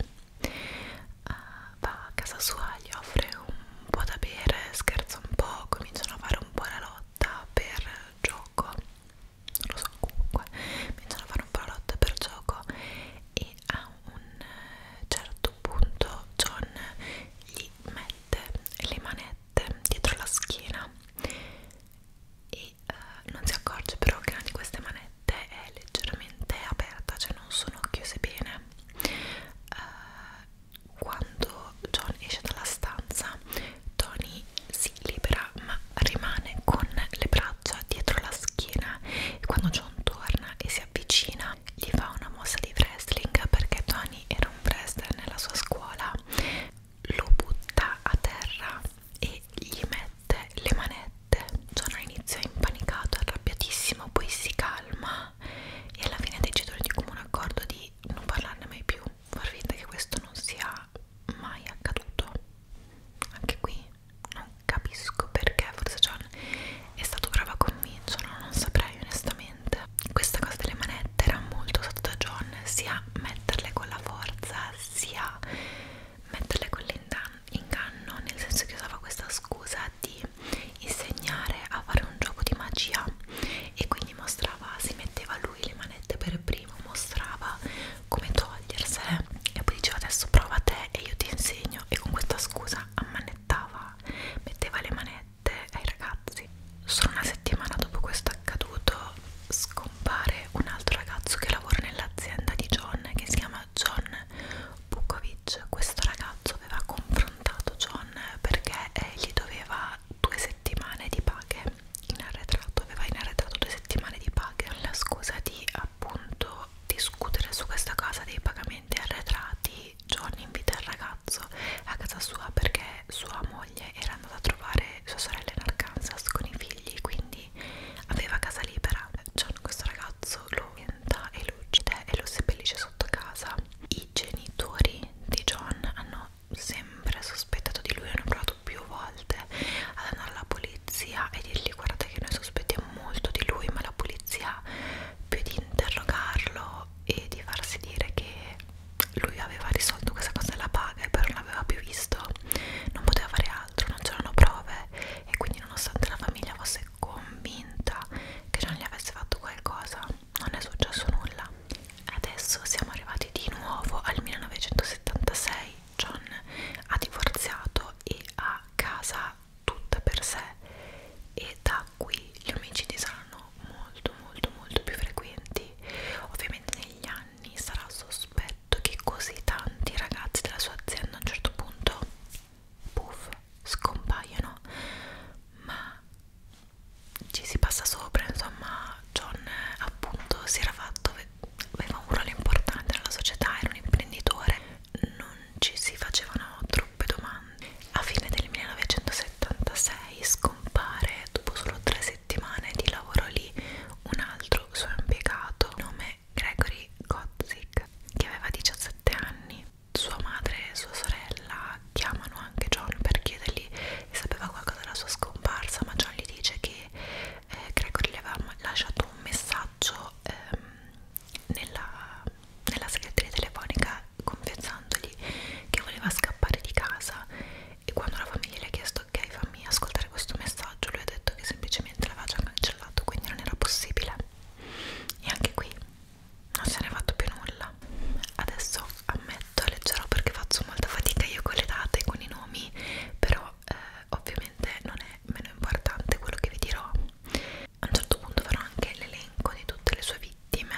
uh, va a casa sua, gli offre un po' da bere, scherza un po', cominciano a fare un po' la lotta per gioco non lo so, comunque cominciano a fare un po' la lotta per gioco e a un eh, certo punto John gli mette le manette dietro la schiena e uh, non si accorge però che una di queste manette è leggermente aperta, cioè non sono chiuse bene. Uh, quando John esce dalla stanza, Tony si libera ma rimane con le braccia dietro la schiena e quando John torna e si avvicina gli fa una mossa di wrestling perché Tony era un wrestler nella sua scuola lo butta a terra e gli mette le manette. Sono all'inizio impanicato, arrabbiatissimo, poi si calma e alla fine decidono di comune accordo di non parlarne mai più, far finta che questo non sia mai accaduto. Anche qui non capisco perché, forse John è stato bravo a convincerlo, non saprei onestamente. Questa cosa delle manette era molto usata da John, sia metterle con la forza, sia metterle con l'inganno, nel senso che usava questa scusa di insegnare a fare un gioco di magia e quindi mostrava, si metteva lui le manette per primo, mostrava come togliersele e poi diceva adesso prova te e io ti insegno e con questa scusa ammanettava, metteva le manette ai ragazzi. Solo una settimana dopo questo accaduto scompare un altro ragazzo che lavora nell'azienda di John che si chiama John Bukovic questo ragazzo aveva confrontato John perché eh, gli doveva due settimane di paghe in arretrato aveva in arretrato due settimane di paghe la scusa di appunto discutere su questa cosa dei pagamenti arretrati John invita il ragazzo a casa sua perché sua moglie era andata a trovare sua sorella in Arkansas con i figli quindi lui aveva casa libera John cioè, questo ragazzo lo vienta e lo uccide e lo seppellisce sotto casa i genitori di John hanno sempre sospettato di lui hanno provato più volte ad andare alla polizia e dirgli guardate che noi sospettiamo molto di lui ma la polizia più di interrogarlo e di farsi dire che lui aveva risolto questa cosa della paga e però non l'aveva più visto non poteva fare l'altro non c'erano prove e quindi nonostante la famiglia fosse convinta che John gli avesse fatto qualcosa non è successo nulla adesso siamo arrivati di nuovo al 1976 John ha divorziato e ha casa tutta per sé e da qui gli omicidi saranno molto molto molto più frequenti ovviamente negli anni sarà sospetto detto che così tanti ragazzi della sua azienda a un certo punto puff, scompaiono ma ci si passa sopra insomma John appunto si era fatto aveva un ruolo importante nella società era un imprenditore non ci si facevano troppe domande a fine del 1976 scompare dopo solo tre settimane di lavoro lì un altro altro suo impiegato, nome Gregory Godzik, che aveva 17 anni. Sua madre e sua sorella chiamano anche John per chiedergli se sapeva qualcosa della sua scomparsa, ma John gli dice che eh, Gregory gli aveva lasciato un messaggio ehm, nella, nella segreteria telefonica confessandogli che voleva scappare di casa e quando la famiglia le ha chiesto chiesto ok fammi ascoltare questo messaggio lui ha detto che semplicemente l'aveva già cancellato quindi non era possibile e anche qui non se ne è fatto più nulla adesso ammetto leggerò perché faccio molta fatica io con le date con i nomi però eh, ovviamente non è meno importante quello che vi dirò a un certo punto farò anche l'elenco di tutte le sue vittime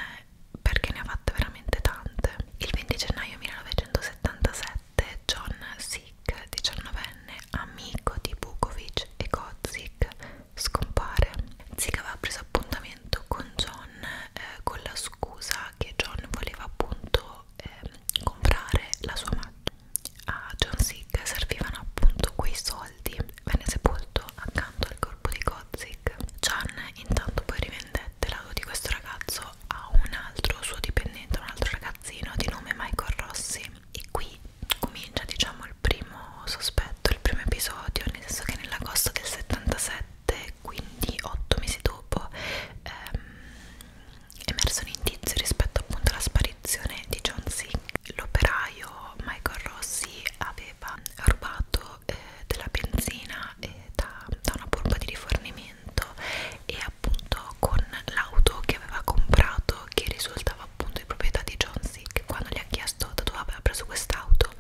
perché ne ha fatte veramente tante il 20 gennaio 1977 2007 John Sick, 19enne, amico di Bukovic e Kozik, scompare. Sick aveva preso appuntamento con John eh, con la scusa che John voleva appunto eh, comprare la sua macchina. A John Sick servivano appunto quei soldi, venne sepolto accanto al corpo di Kozik. John intanto poi rivendette l'auto di questo ragazzo Love a un altro suo dipendente, un altro ragazzino di nome Michael Rossi e qui comincia diciamo il primo sospetto, il primo episodio, nel senso che nell'agosto del 77, quindi 8 mesi dopo, ehm, è emerso un indizio rispetto appunto alla sparizione di John Sink. L'operaio Michael Rossi aveva rubato eh, della benzina eh, da, da una pompa di rifornimento appartamento e appunto con l'auto che aveva comprato che risultava appunto di proprietà di John Sick quando gli ha chiesto da dove aveva preso quest'auto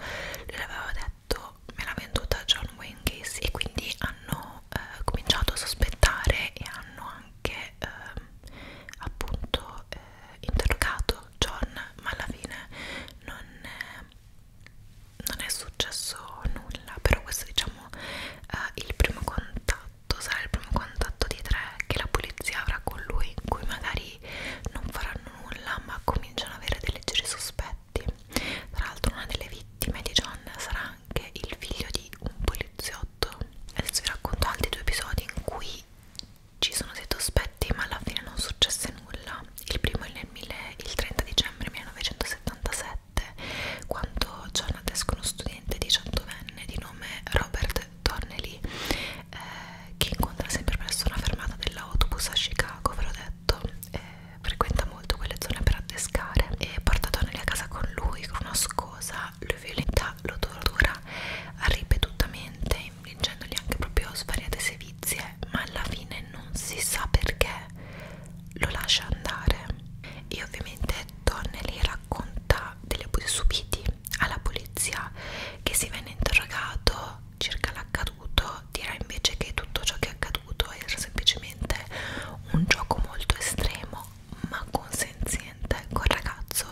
lui le aveva detto me l'ha venduta John Wayne Casey e quindi hanno eh, cominciato a sospettare e hanno anche eh, appunto eh, interrogato John ma alla fine non, eh, non è successo nulla però questo diciamo eh, il primo contatto contatto sarà il primo contatto di tre che la polizia avrà con lui in cui magari non faranno nulla ma cominciano ad avere dei leggeri sospetti tra l'altro una delle vittime di John sarà anche il figlio di un poliziotto adesso vi racconto altri due episodi in cui ci sono dei sospetti ma alla fine non successe nulla il primo è nel il 30 dicembre 1977 quando Jonathan escono studente 18enne di nome Robert Donnelly eh, che incontra sempre presso una fermata dell'autobus a Chicago, ve l'ho detto, eh, frequenta molto quelle zone per addescare e porta Donnelly a casa con lui con una scosa, lui violenta lo tortura ripetutamente infliggendogli anche proprio svariate sevizie ma alla fine non si sa perché lo lascia andare e ovviamente letto Nelly racconta degli abusi subiti alla polizia che si venne interrogato circa l'accaduto dirà invece che tutto ciò che è accaduto era semplicemente un gioco molto estremo ma consenziente col ragazzo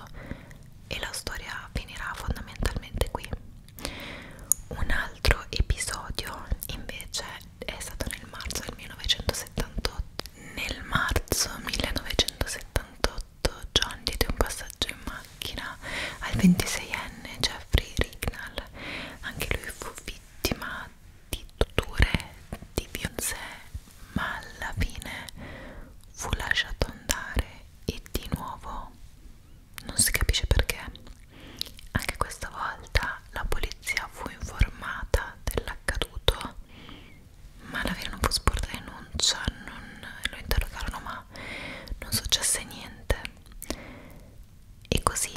e la storia finirà fondamentalmente qui un altro episodio invece è stato nel marzo del 1978 nel marzo 1978 John diede un passaggio in macchina al 26enne Jeffrey Rignall anche lui fu vittima di torture di Beyoncé ma alla fine fu lasciato andare e di nuovo non si capisce perché anche questa volta la polizia fu informata dell'accaduto ma davvero non posso portare denuncia non, lo interrogarono ma non successe niente e così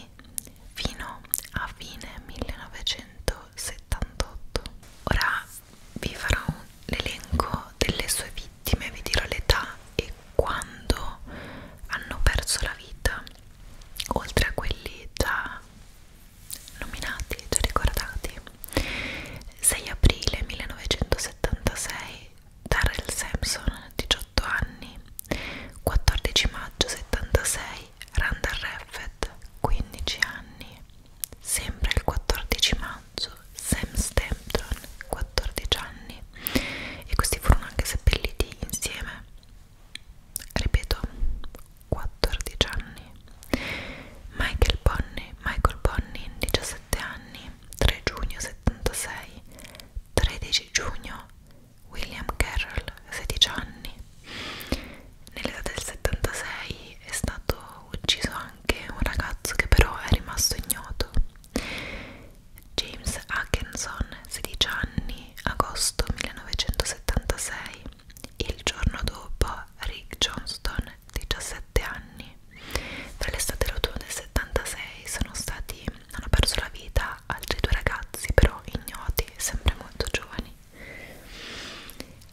fino a fine 1978 ora vi farò l'elenco delle sue vittime vi dirò l'età e quando hanno perso la vita oltre a quelli già nominati, già ricordati 6 aprile 1976 Darrell Sampson, 18 anni 14 maggio 76 Randall Raffet, 15 anni sempre il 14 maggio Sam Stampton, 14 anni e questi furono anche seppelliti insieme ripeto 14 anni Michael Bonney Michael Bonney 17 anni 3 giugno 76 13 giugno William Carroll 16 anni nell'età del 76 è stato ucciso anche un ragazzo che però è rimasto ignoto James Atkinson 16 anni agosto 1976 il giorno dopo Rick Johnston, 17 anni, tra l'estate e l'autunno del 76 sono stati, hanno perso la vita altri due ragazzi, però ignoti, sempre molto giovani.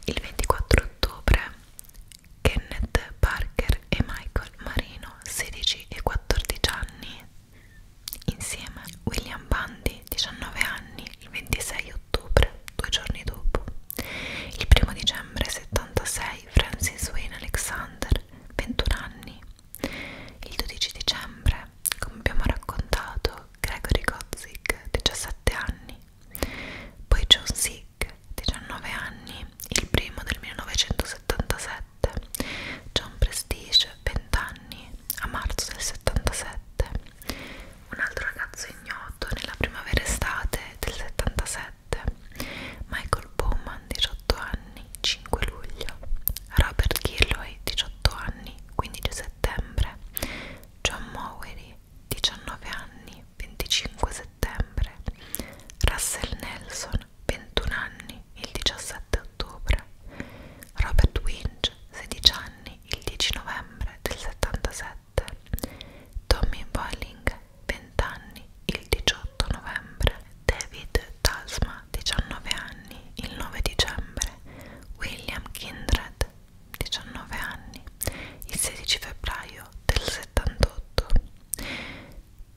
Il 24 ottobre Kenneth Parker e Michael Marino, 16 e 14 anni, insieme William Bundy, 19 anni, il 26 ottobre ottobre, due giorni dopo. Il primo dicembre 76 Francis Wayne Alexander, 21 anni. Il 12 dicembre, come abbiamo raccontato, Gregory Godzik, 17 anni. Poi John Sick, 19 anni, il primo del 1977. John Prestige, 20 anni, a marzo del 77 un altro ragazzo ignoto nella primavera estate del 77, Michael Bowman, 18 anni, 5 luglio, Robert Gilloy, 18 anni, 15 settembre, John Mowery, 19 anni, 25 settembre, Russell Nelson, 21 anni, il 17 ottobre, Robert Wynn, Page, 16 anni, il 10 novembre del 77, Tommy Bolling, 20 anni, il 18 novembre, David Tasma, 19 anni, il 9 dicembre, William Kindred, 19 anni, il 16 febbraio del 78,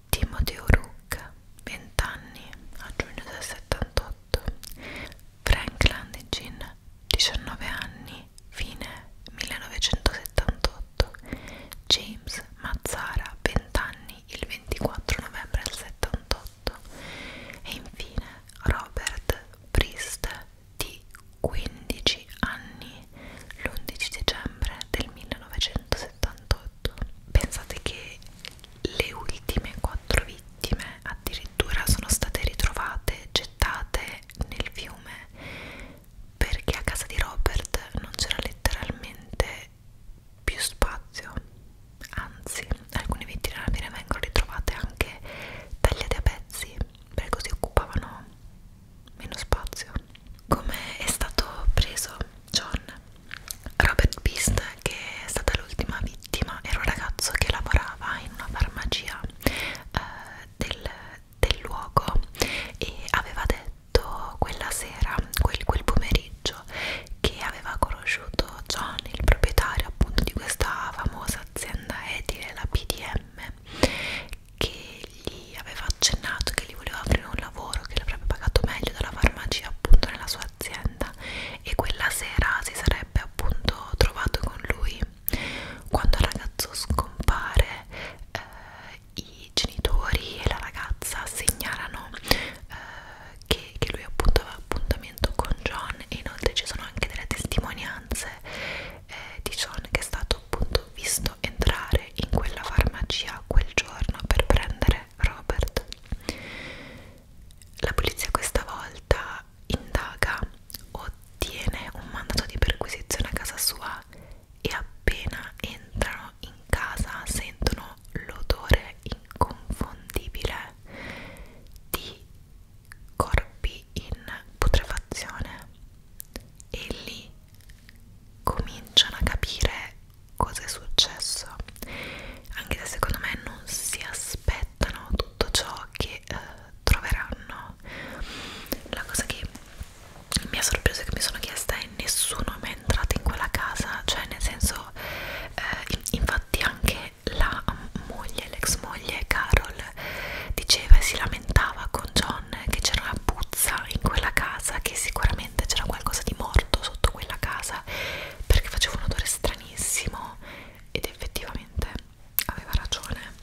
Timothy O'Rourke, 20 anni, a giugno del 78, Frank Landegin, 19 anni, fine 1978 James Mazzara, 20 anni, il 24 novembre del 78 e infine Robert Priest di 15 anni l'11 dicembre del 1978 pensate che le ultime quattro vittime addirittura sono state ritrovate gettate nel fiume perché a casa di Robert non c'era letteralmente più spazio anzi alcune vittime alla fine vengono ritrovate anche tagliate a pezzi perché così occupavano meno spazio come è stato preso John Robert Beast che è stata l'ultima vittima vittima era un ragazzo che lavorava in una farmacia eh, del, del luogo e aveva detto quella sera, quel, quel pomeriggio, che aveva conosciuto John, il proprietario appunto di questa famosa azienda edile, la PDM, che gli aveva accennato che gli voleva aprire un lavoro che l'avrebbe pagato meglio della farmacia appunto nella sua azienda e quella sera si sarebbe appunto trovato con lui quando il ragazzo scompare eh, i genitori e la ragazza segnalano eh, che, che lui appunto aveva appuntamento con John e inoltre ci sono anche delle testimonianze eh, di John che è stato appunto visto entrare in quella farmacia quel giorno per prendere Robert la polizia questa volta indaga, ottiene un mandato di perquisizione a casa sua e appena entrano in casa sentono l'odore inconfondibile di corpi in putrefazione e lì cominciano a capire cosa è successo anche se secondo me non si aspettano tutto ciò che eh, troveranno la cosa che mi ha sorpreso e che mi sono chiesta è nessuno è mai entrato in quella casa cioè nel senso eh, infatti anche la moglie l'ex moglie Carol diceva e si lamentava con John che c'era una puzza in quella casa che sicuramente c'era qualcosa di morto sotto quella casa perché faceva un odore stranissimo ed effettivamente aveva ragione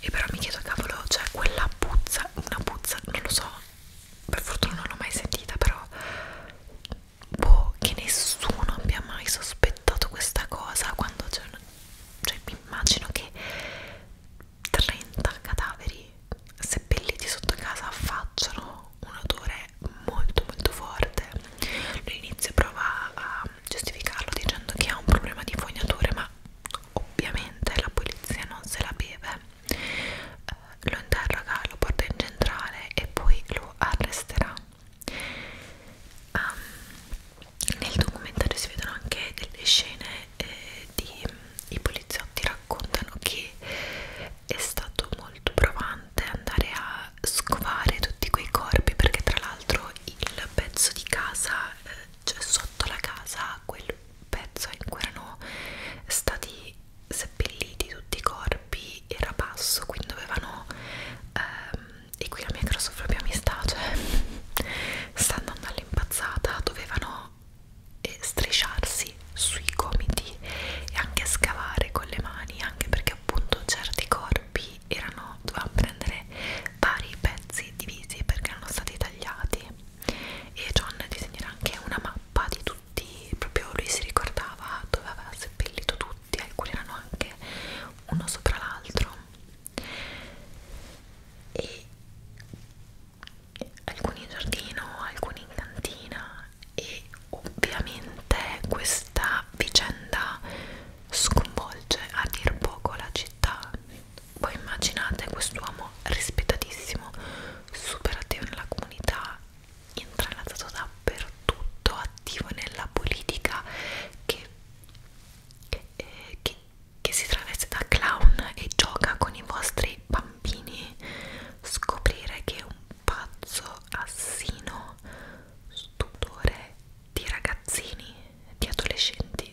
e però mi chiedo cavolo cioè quella puzza una puzza non lo so per fortuna non l'ho mai sentita però boh che nessuno abbia mai sospettato questa cosa quando c'è un cioè mi immagino che 30 cadaveri seppelliti sotto casa facciano un odore molto molto forte. All'inizio prova a giustificarlo dicendo che ha un problema di fognature ma ovviamente la polizia non se la beve eh, lo interroga, lo porta in centrale e poi lo arresterà um, nel documentario si vedono anche delle scene eh, di i poliziotti raccontano che è stato molto provante andare a scovare tutti quei corpi perché tra l'altro il pezzo di casa eh, cioè sotto la casa quel pezzo in cui erano stati seppelliti tutti i corpi era basso quindi dovevano ehm, e qui la mia crossofobia mi sta cioè [laughs] sta andando all'impazzata dovevano eh, strisciarsi sui gomiti e anche scavare con le mani anche perché appunto certi corpi erano, dovevamo prendere vari pezzi divisi perché erano stati tagliati e John disegnerà anche una mappa di tutti, proprio lui si ricordava dove aveva seppellito tutti, alcuni erano anche uno sopra l'altro e alcuni in giardino, alcuni in cantina e ovviamente questa vicenda sconvolge a dir poco la città. Voi immaginate quest'uomo rispettatissimo, super attivo nella comunità, intranazzato dappertutto, attivo nella politica che, eh, che, che si traveste da clown e gioca con i vostri bambini. Scoprire che è un pazzo assino, stupore di ragazzini, di adolescenti.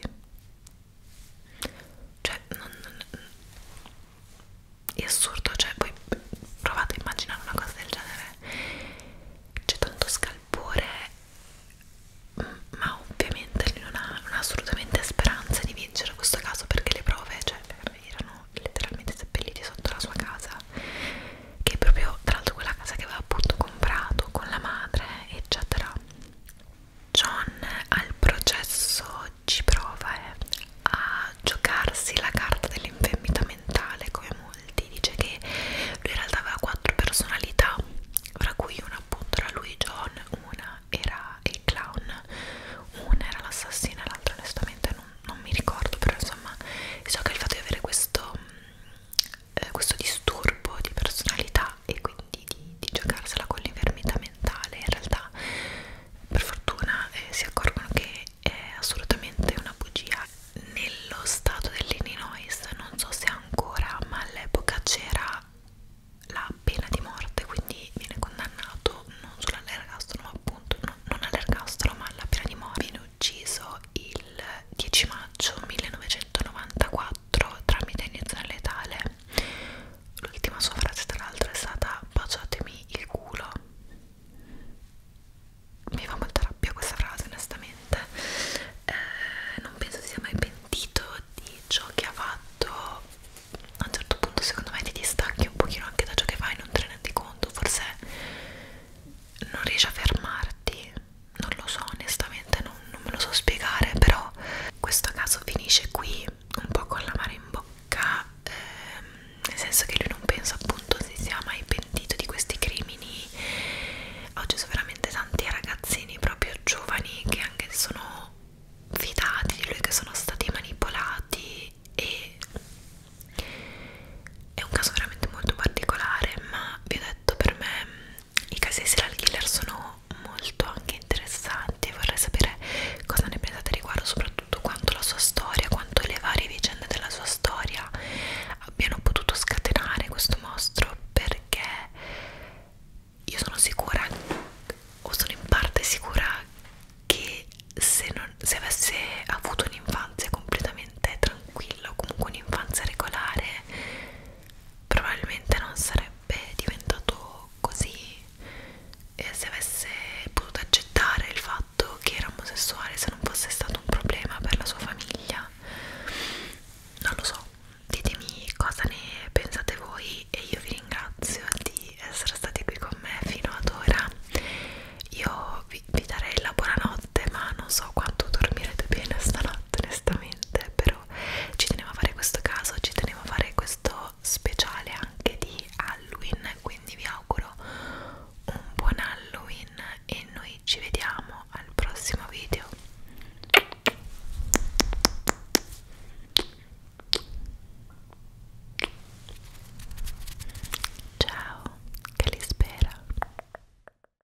Cioè, non, non, è assurdo, cioè, voi provate a immaginare una cosa del genere. C'è tanto scalpore, mm, ma ovviamente lui non ha, non ha assolutamente speranze di vincere questo caso perché le prove, cioè, erano letteralmente seppelliti sotto la sua casa che è proprio tra l'altro quella casa che aveva appunto comprato con la madre eccetera John al processo ci prova eh, a giocarsi la carta dell'infermità mentale come molti dice che lui in realtà aveva quattro personalità fra cui una appunto era lui John una era il clown una era l'assassina l'altra onestamente non, non mi ricordo però insomma so che il fatto di avere questo eh, questo disturbo di personalità e quindi di, di giocarsela con l'infermità mentale in realtà per fortuna eh, si accorgono che è assolutamente una bugia nello stato dell'Illinois non so se ancora ma all'epoca c'era la pena di morte quindi viene condannato non solo all'ergastolo ma appunto no, non all'ergastolo ma alla pena di morte ucciso il 10 maggio 1994 tramite iniezione letale. L'ultima sua frase tra l'altro è stata baciatemi il culo. Mi fa molta rabbia questa frase onestamente. Eh, non penso si sia mai pentito di ciò che ha fatto. A un certo punto secondo me ti distacchi un pochino anche da ciò che fai, non te ne rendi conto, forse non riesci a fermarti non lo so onestamente non, non me lo so spiegare però questo caso finisce qui un po' con la mare in bocca ehm, nel senso che lui non penso appunto si sia mai pentito di questi crimini ho ucciso veramente tanti ragazzini proprio giovani che anche sono fidati di lui che sono stati manipolati e è un caso veramente molto particolare ma vi ho detto per me i casi serial killer sono molto anche interessanti e vorrei sapere cosa ne pensate riguardo soprattutto quanto la sua storia, quanto le varie vicende della sua storia abbiano potuto scatenare questo mostro perché io sono sicura o sono in parte sicura che se, non, se avesse avuto un'infanzia completamente tranquilla o comunque un'infanzia regolare probabilmente non sarebbe diventato così eh, se avesse potuto accettare il fatto che era omosessuale se non fosse stato un problema per la sua famiglia non lo so ditemi cosa ne pensate voi e io vi ringrazio di essere stati qui con me fino ad ora io vi, vi darei la buonanotte ma non so quanto dormirete bene stanotte onestamente però ci tenevo a fare questo caso ci tenevo a fare questo speciale anche di Halloween quindi vi auguro un buon Halloween e noi ci vediamo al prossimo video ciao che li spera